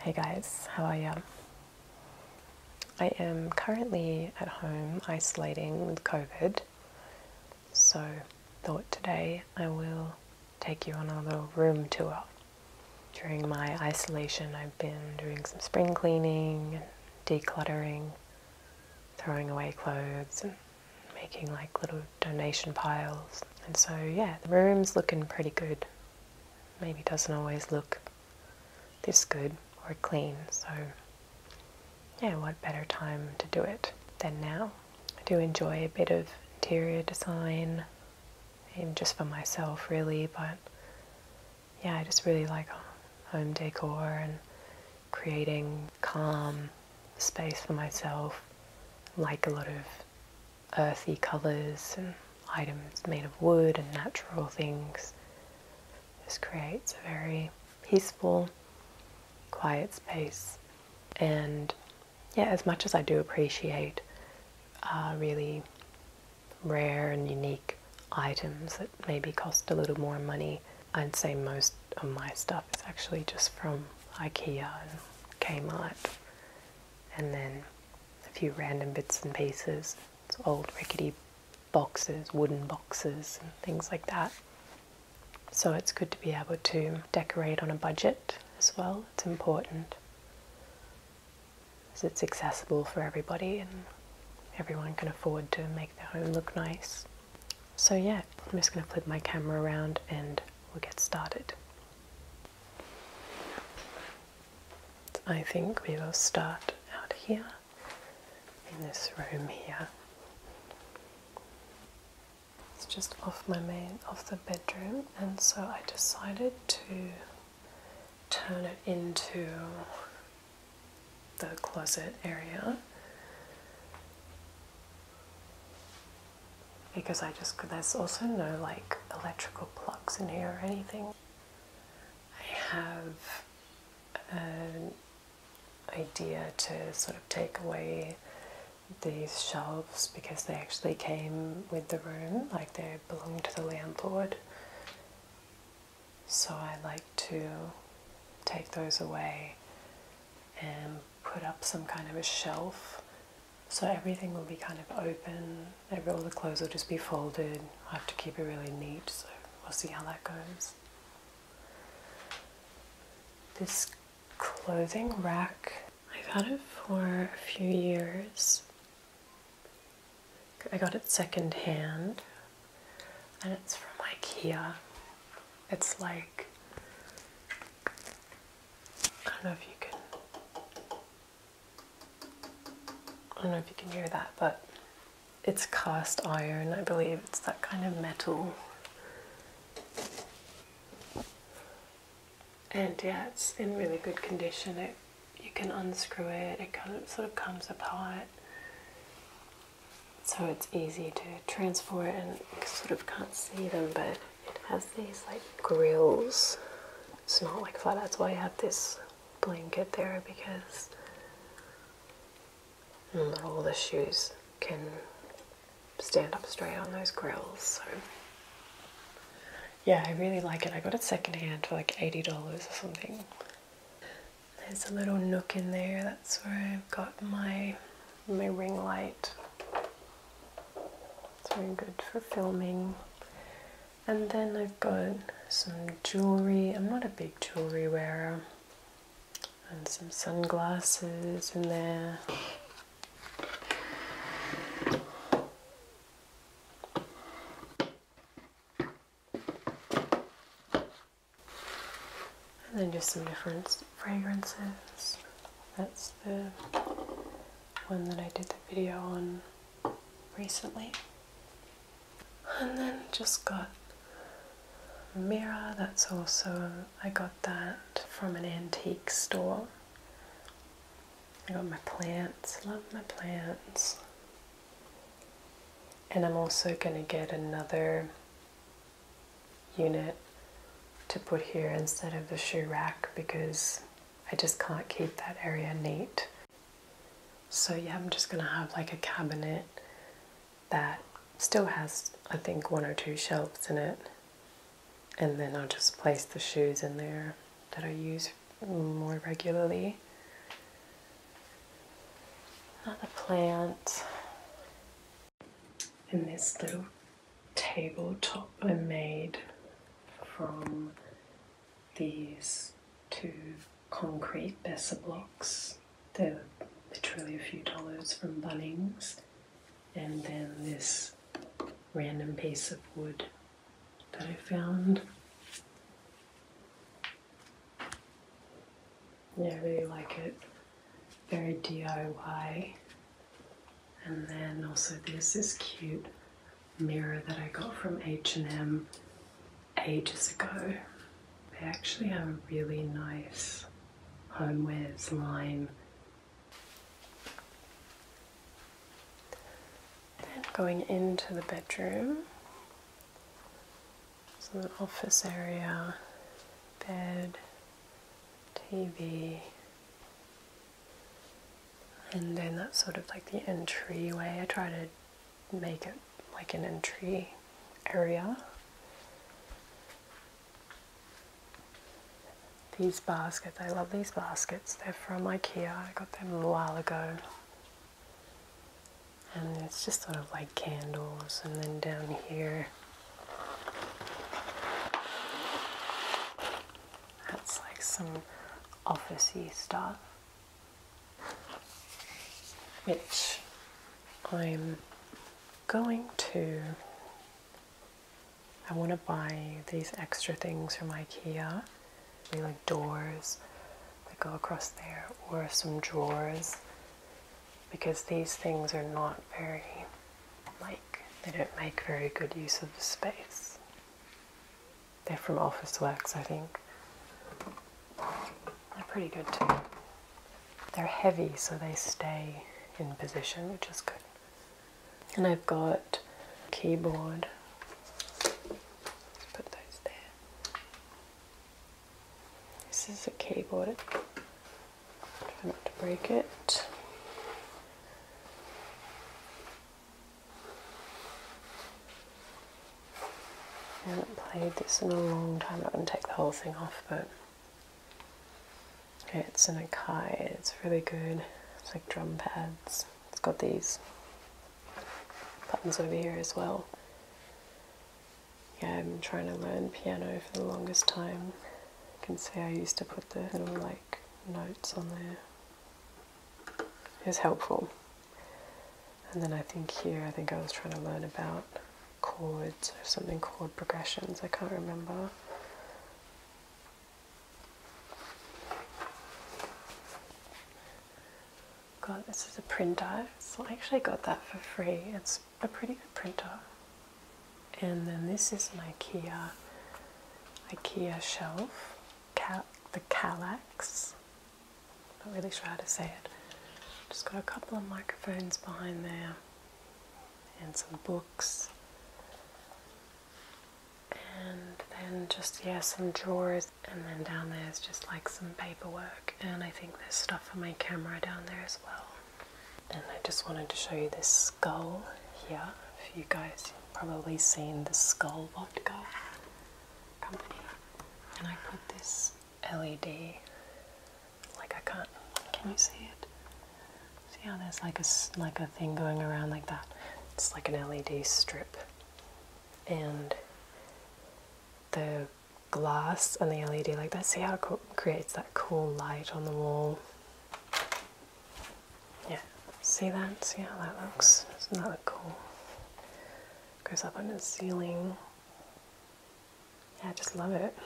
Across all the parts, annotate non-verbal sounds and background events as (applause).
Hey guys, how are you? I am currently at home isolating with COVID, so thought today I will take you on a little room tour. During my isolation, I've been doing some spring cleaning, decluttering, throwing away clothes, and making like little donation piles and so, yeah, the room's looking pretty good. Maybe doesn't always look this good or clean, so yeah, what better time to do it than now? I do enjoy a bit of interior design, even just for myself, really, but yeah, I just really like uh, home decor and creating calm space for myself. like a lot of earthy colours and items made of wood and natural things. This creates a very peaceful, quiet space. And yeah, as much as I do appreciate uh, really rare and unique items that maybe cost a little more money, I'd say most of my stuff is actually just from IKEA and Kmart and then a few random bits and pieces. old rickety boxes, wooden boxes, and things like that. So it's good to be able to decorate on a budget as well. It's important as it's accessible for everybody and everyone can afford to make their home look nice. So yeah, I'm just going to flip my camera around and we'll get started. I think we will start out here in this room here. It's just off my main off the bedroom and so I decided to turn it into the closet area because I just there's also no like electrical plugs in here or anything. I have an idea to sort of take away these shelves because they actually came with the room, like they belong to the landlord. So I like to take those away and put up some kind of a shelf so everything will be kind of open. Every, all the clothes will just be folded. I have to keep it really neat, so we'll see how that goes. This clothing rack, I've had it for a few years. I got it second hand and it's from IKEA. It's like I don't know if you can. I don't know if you can hear that, but it's cast iron. I believe it's that kind of metal. And yeah, it's in really good condition. you can unscrew it. It kind of sort of comes apart. So it's easy to transport and sort of can't see them, but it has these like grills. It's not like flat, that's why I have this blanket there because all the shoes can stand up straight on those grills. So yeah, I really like it. I got it secondhand for like $80 or something. There's a little nook in there. That's where I've got my my ring light. It's very good for filming. And then I've got some jewelry. I'm not a big jewelry wearer. And some sunglasses in there. And then just some different fragrances. That's the one that I did the video on recently. And then just got a mirror, that's also, I got that from an antique store. I got my plants, love my plants. And I'm also going to get another unit to put here instead of the shoe rack because I just can't keep that area neat. So yeah, I'm just gonna have like a cabinet that still has, I think, one or two shelves in it. And then I'll just place the shoes in there that I use more regularly. Another plant. in this little tabletop I made from these two concrete Besser blocks. They're literally a few dollars from Bunnings, and then this random piece of wood that I found. Yeah, I really like it. Very DIY. And then also this is cute mirror that I got from H&M ages ago. They actually have a really nice homewares line. And going into the bedroom, so an office area, bed, TV, and then that's sort of like the entryway. I try to make it like an entry area. These baskets, I love these baskets. They're from IKEA. I got them a while ago. And it's just sort of like candles. And then down here, that's like some officey stuff, which I'm going to. I want to buy these extra things from IKEA, like doors that go across there, or some drawers, because these things are not very like they don't make very good use of the space. They're from Office Works, I think. They're pretty good too. They're heavy, so they stay in position, which is good. And I've got keyboard. Let's put those there. This is a keyboard. Try not to break it. I haven't played this in a long time. I'm not going to take the whole thing off, but it's an Akai. It's really good. It's like drum pads. It's got these buttons over here as well. Yeah, I'm trying to learn piano for the longest time. You can see I used to put the little like notes on there is helpful. And then I think here, I think I was trying to learn about chords or something, chord progressions, I can't remember. God, this is a printer. So I actually got that for free. It's a pretty good printer and then this is my IKEA IKEA shelf, the Calax. Not really sure how to say it. Just got a couple of microphones behind there, and some books, and then just yeah some drawers, and then down there is just like some paperwork, and I think there's stuff for my camera down there as well. And I just wanted to show you this skull here. If you guys probably seen the Skull Vodka company. And I put this LED, like I can't, can you see it? See how there's like a, like a thing going around like that? It's like an LED strip. And the glass and the LED like that. See how it creates that cool light on the wall. Yeah, see that? See how that looks? Doesn't that look cool? Goes up under the ceiling. Yeah, I just love it.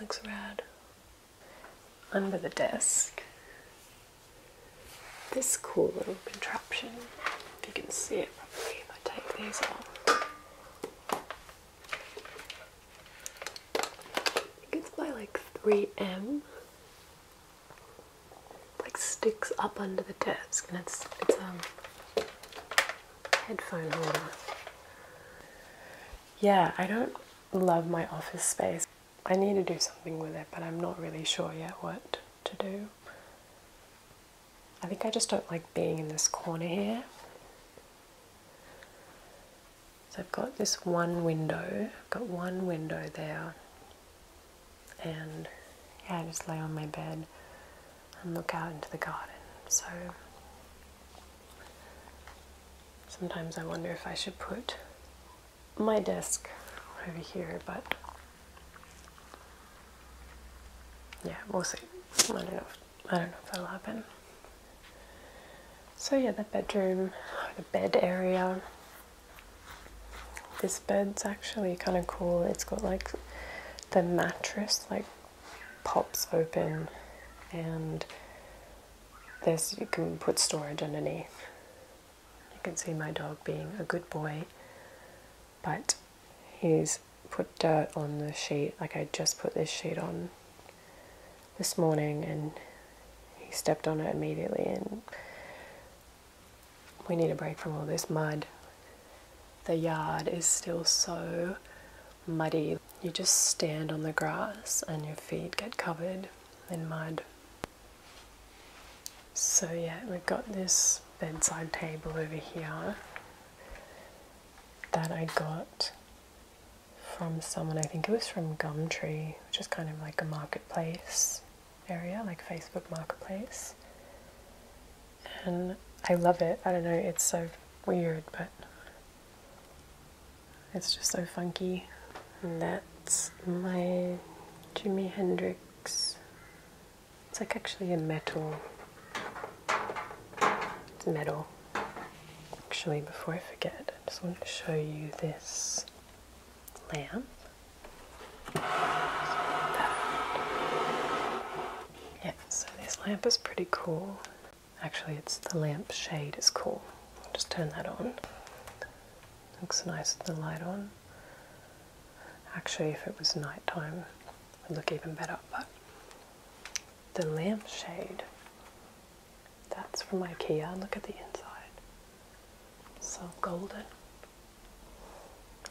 Looks rad. Under the desk, this cool little contraption, if you can see it probably if I take these off. It gets by like 3M. Like sticks up under the desk, and it's it's um headphone holder. Yeah, I don't love my office space. I need to do something with it, but I'm not really sure yet what to do. I think I just don't like being in this corner here. So I've got this one window, I've got one window there, and yeah, I just lay on my bed and look out into the garden. So sometimes I wonder if I should put my desk over here, but yeah, we'll see. not enough. I don't know if that'll happen. So yeah, the bedroom, the bed area. This bed's actually kind of cool. It's got like the mattress like pops open and this you can put storage underneath. You can see my dog being a good boy, but he's put dirt on the sheet. Like I just put this sheet on this morning and he stepped on it immediately and we need a break from all this mud. The yard is still so muddy. You just stand on the grass and your feet get covered in mud. So yeah, we've got this bedside table over here that I got from someone, I think it was from Gumtree, which is kind of like a marketplace area, like Facebook Marketplace. And I love it. I don't know, it's so weird, but it's just so funky. And that's my Jimi Hendrix. It's like actually a metal. It's metal. Actually, before I forget, I just want to show you this lamp. Yeah, so this lamp is pretty cool. Actually, it's the lamp shade is cool. just turn that on. Looks nice with the light on. Actually, if it was nighttime, it would look even better. But the lamp shade that's from IKEA. Look at the inside. So golden.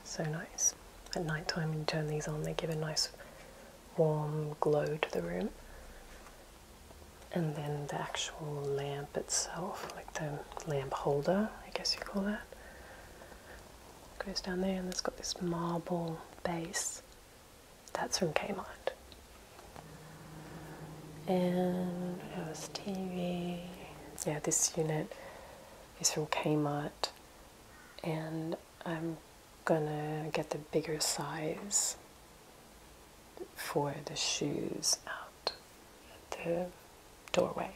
So nice. At night time, when you turn these on, they give a nice warm glow to the room. And then the actual lamp itself, like the lamp holder, I guess you call that, goes down there and it's got this marble base that's from Kmart. And what else? TV. Yeah, this unit is from Kmart, and I'm gonna get the bigger size for the shoes out at the doorway.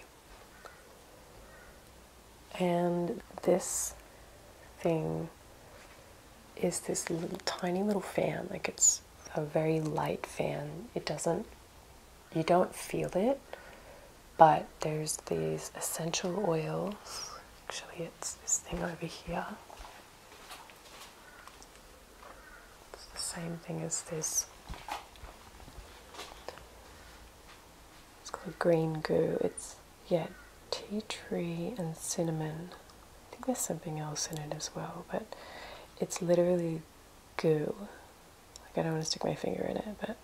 And this thing is this little tiny little fan. Like it's a very light fan. It doesn't, you don't feel it, but there's these essential oils. Actually, it's this thing over here. It's the same thing as this. It's called green goo. It's yeah, tea tree and cinnamon. I think there's something else in it as well, but it's literally goo. Like, I don't want to stick my finger in it, but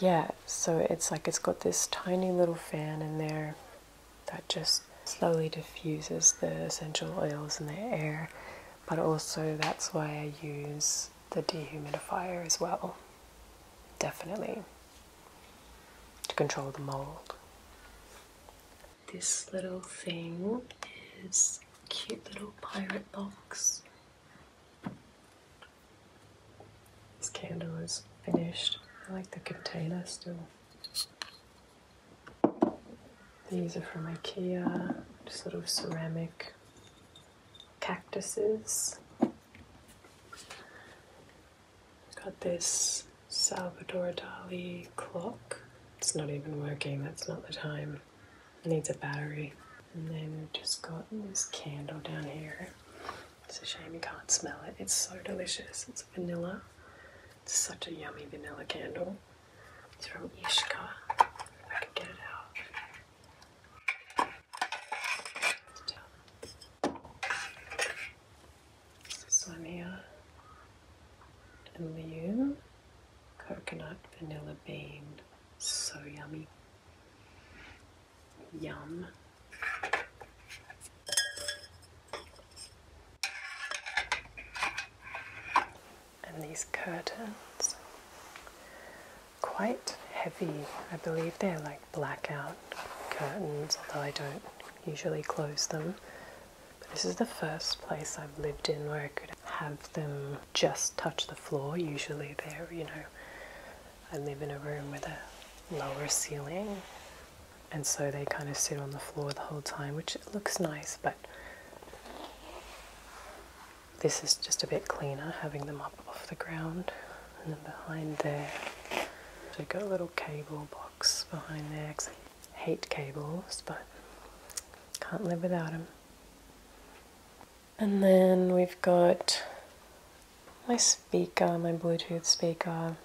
yeah, so it's like it's got this tiny little fan in there that just slowly diffuses the essential oils in the air, but also that's why I use the dehumidifier as well. Definitely to control the mold. This little thing is cute little pirate box. This candle is finished. I like the container still. These are from IKEA, Sort of ceramic cactuses. Got this Salvador Dali clock. It's not even working, that's not the time. It needs a battery. And then we've just got this candle down here. It's a shame you can't smell it. It's so delicious. It's vanilla. It's such a yummy vanilla candle. It's from Ishka. I could get it out. This one here, Liu, coconut vanilla bean, so yummy. Yum. And these curtains, quite heavy. I believe they're like blackout curtains, although I don't usually close them. this is the first place I've lived in where I could have them just touch the floor. Usually, they're, you know, I live in a room with a lower ceiling, and so they kind of sit on the floor the whole time, which looks nice, but this is just a bit cleaner having them up off the ground and then behind there, I've got a little cable box behind there I hate cables, but can't live without them. And then we've got my speaker, my Bluetooth speaker.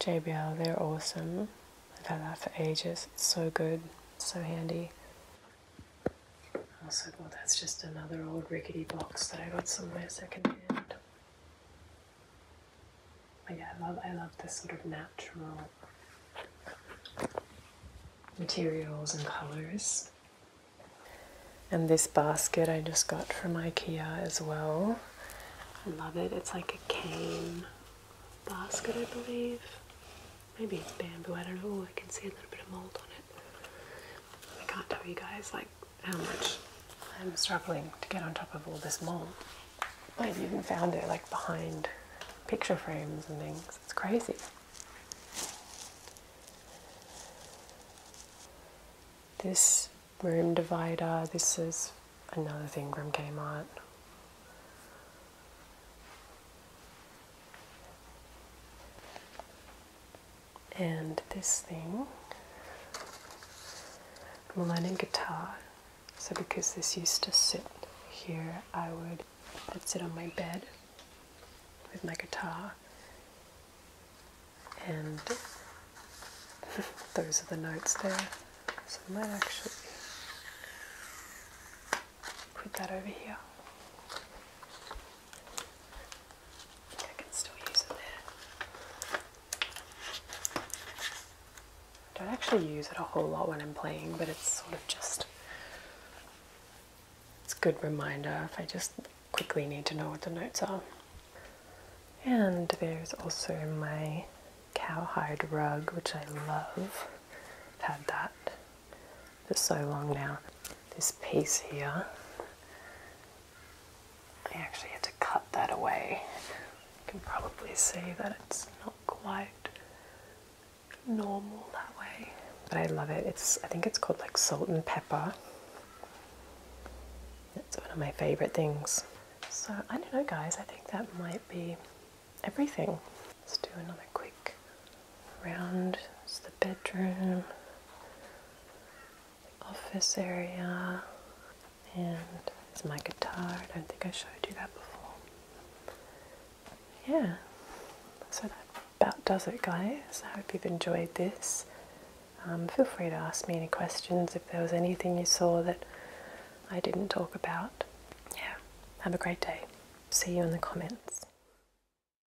JBL, they're awesome. I've had that for ages. It's so good, so handy. I was like, well, that's just another old rickety box that I got somewhere secondhand. I love, I love this sort of natural materials and colors. And this basket I just got from IKEA as well. I love it. It's like a cane basket, I believe. Maybe it's bamboo, I don't know. I can see a little bit of mold on it. I can't tell you guys like how much I'm struggling to get on top of all this mold. I've even found it like behind picture frames and things. It's crazy. This room divider, this is another thing from Kmart and this thing, I'm learning guitar. So because this used to sit here, I would I'd sit on my bed with my guitar, and (laughs) those are the notes there. So I might actually put that over here. I can still use it don't actually use it a whole lot when I'm playing, but it's sort of just it's a good reminder if I just quickly need to know what the notes are. And there's also my cowhide rug, which I love. I've had that for so long now. This piece here, I actually had to cut that away. You can probably see that it's not quite normal that way. But I love it. It's I think it's called like salt and pepper. That's one of my favorite things. So I don't know guys, I think that might be everything. Let's do another quick around is the bedroom, office area, and it's my guitar. I don't think I showed you that before. Yeah, so that about does it, guys. I hope you've enjoyed this. Um, feel free to ask me any questions if there was anything you saw that I didn't talk about. Yeah, have a great day. See you in the comments.